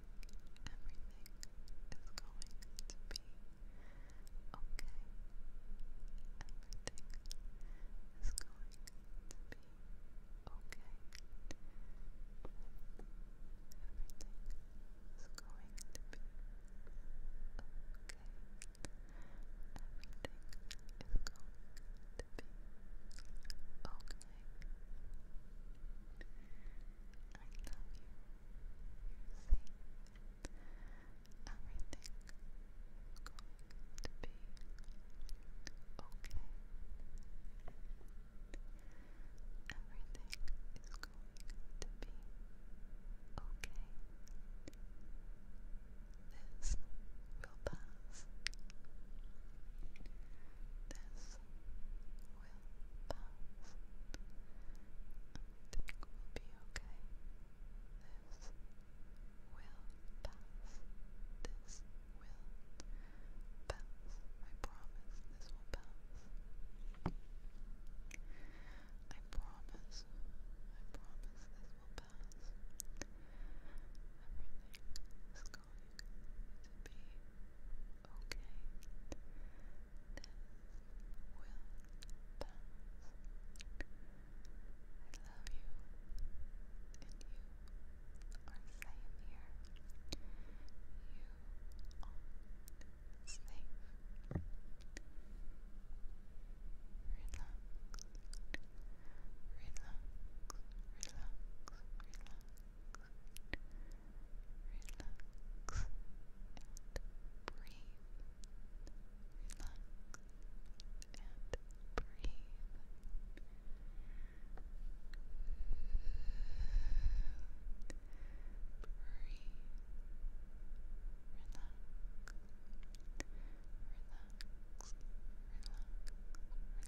Everything is going to be okay. Everything is going to be okay. Everything is going to be okay. Everything is going to be okay. I love you. Everything is going to be okay. Everything is going to be okay. This will pass. This will pass. I think we'll be okay. This will pass. This will pass. I promise this will pass. I promise. I promise this will pass. Everything is going to be okay. This will pass. I love you, and you are safe here. You are Relax, relax, relax, relax relax and breathe. Relax and breathe. Breathe. Relax. Relax. Relax.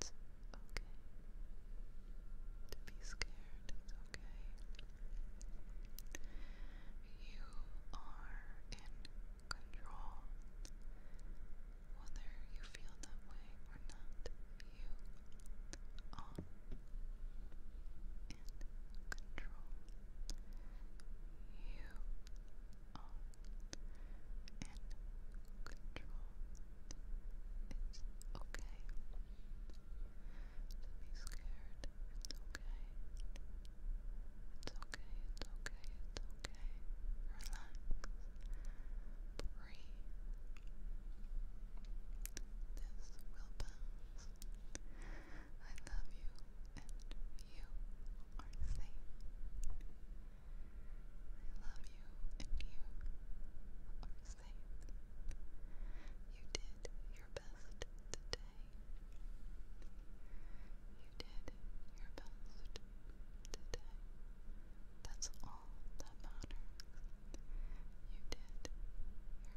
It's okay be scared. It's okay. You are in control. Whether you feel that way or not, you are in control. You are in control. It's okay be scared. It's okay. It's okay. It's okay. It's okay. Relax. Breathe. This will pass. I love you and you are safe. I love you and you are safe. You did your best today. You did your best today. That's all that matters. You did your best.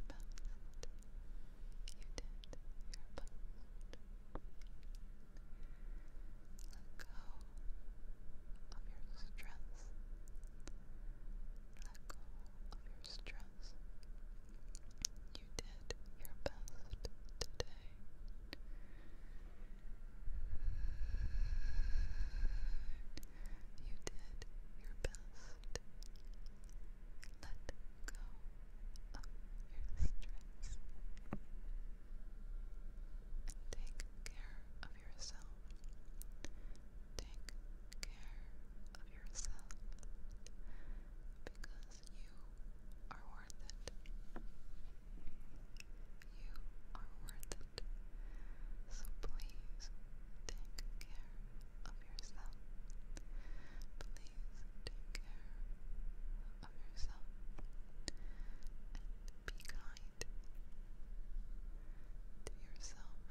You did your best. Let go of your stress. Let go of your stress. You did your best today. You did your best. Let go of your stress. Take care of yourself. Take care of yourself because you are worth it. You are worth it. So please take care of yourself. Please take care of yourself and be kind to yourself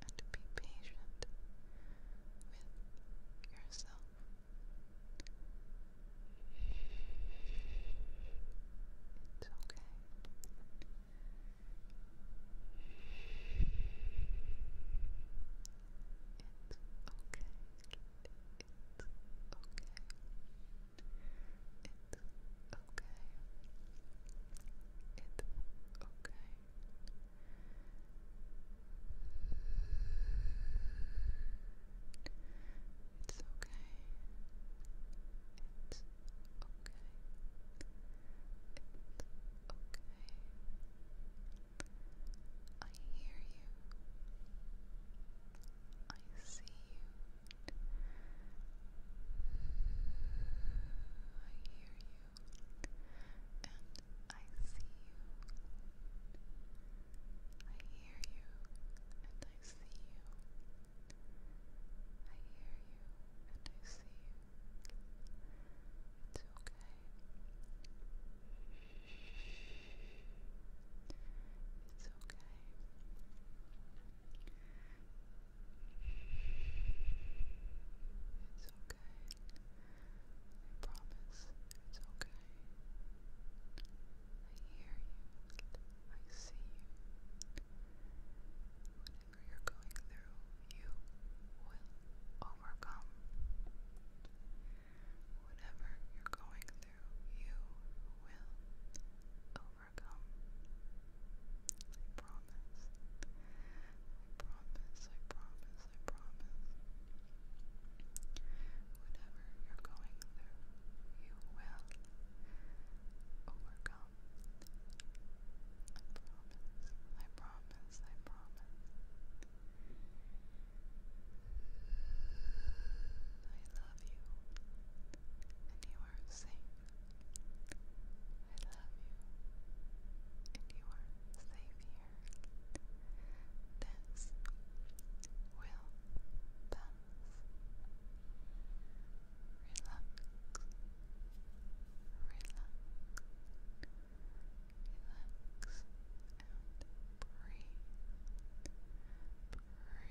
and be patient with yourself. It's okay. It's okay, It's okay. It's okay. It's okay. It's okay. It's okay. It's okay. I hear you. I see you. I hear you. And I see you. I hear you. And I see you. I hear you. And I see you. It's okay. It's okay. It's okay. I promise it's okay. I hear you. I see you. Whatever you're going through, you will overcome. Whatever you're going through, you will overcome. I promise. I promise, I promise, I promise. Whatever you're going through, you will overcome. I promise, I promise, I promise. I love you, and you are safe. I love you, and you are safe here. This will pass. Relax, relax, relax, and breathe. Breathe. Breathe.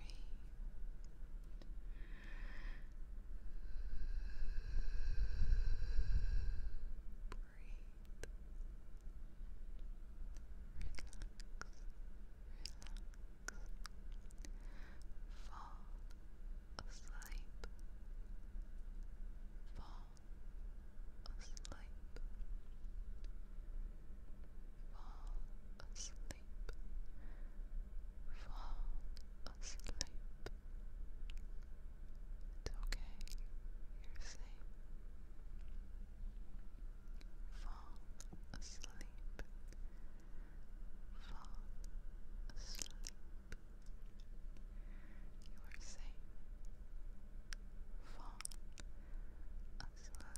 Relax, relax. Fall asleep. Fall asleep asleep. Fall asleep. Fall asleep. It's okay. You're safe. Fall asleep. Fall asleep. You are safe. Fall asleep.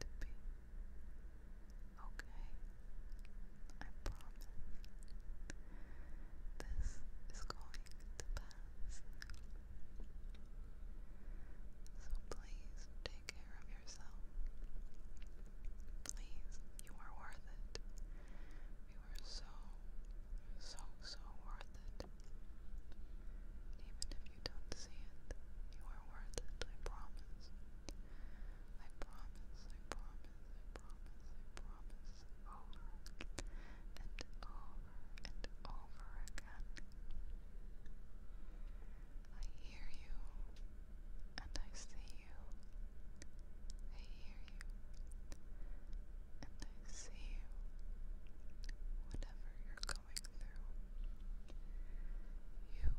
to be okay. I promise. This is going to pass. So please take care of yourself. Please, you are worth it. You are so, so, so worth it you don't see it, you are worth it, I promise. I promise, I promise, I promise, I promise, over and over and over again. I hear you, and I see you. I hear you, and I see you. Whatever your you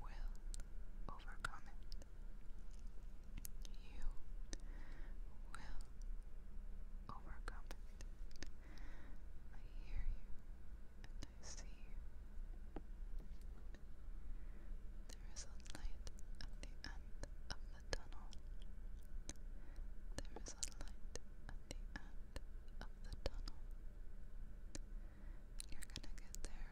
will overcome it. You will overcome it. I hear you and I see you. There is a light at the end of the tunnel. There is a light at the end of the tunnel. You're gonna get there.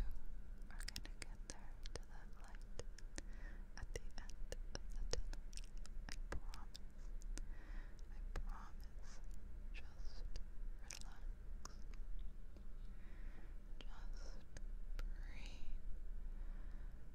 You are gonna get there to that light at the end of the tunnel. I promise. I promise. Just relax. Just breathe.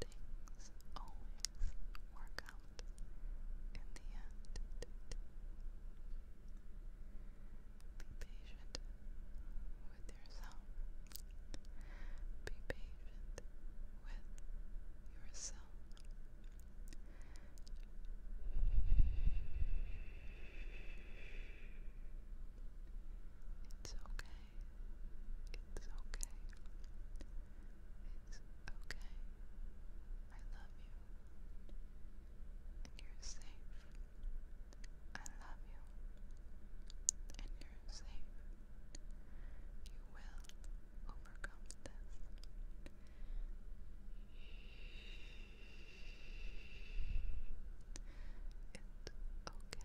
Things always work out in the end. Be patient with yourself. Be patient with yourself. It's okay. It's okay. It's okay. I love you. And you're safe. I love you. And you're safe. You will overcome this. It's okay.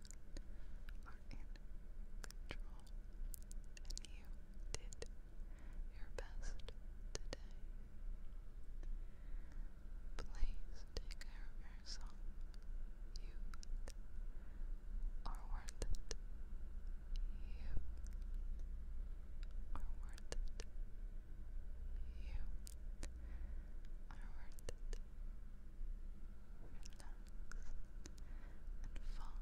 are you did your best today. Please take care of yourself. You are worth it. You are worth it. You are worth it. You and fall asleep. Relax and fall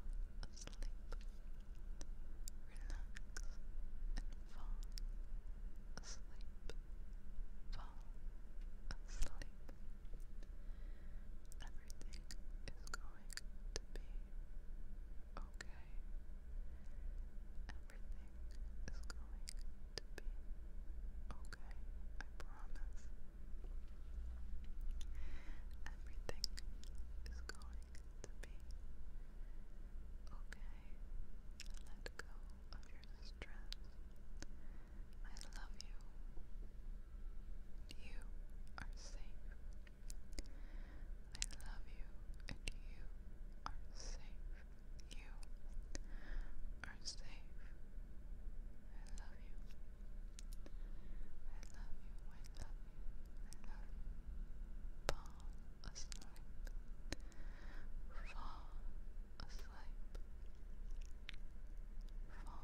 asleep. Fall asleep. Everything is going to be okay. Everything is going to be okay. I promise. Everything is going to be okay. Let go of your stress. I love you. You are safe. I love you and you are safe. You are safe. I love you. I love you. I love you. I love you. Fall asleep. Fall asleep. Fall asleep. Sleepy,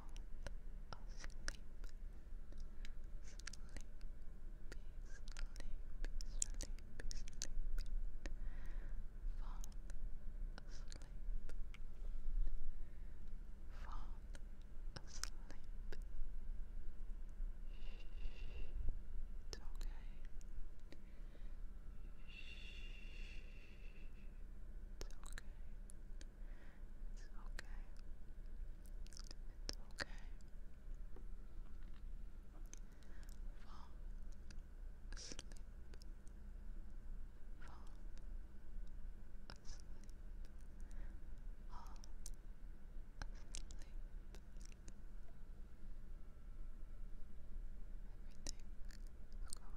sleepy, sleepy, sleepy. Fall asleep. Fall asleep. It's okay. It's okay. It's okay. It's okay. Fall asleep, fall asleep, all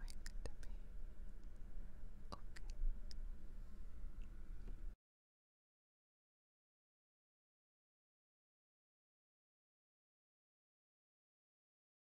asleep. Everything's going to be okay.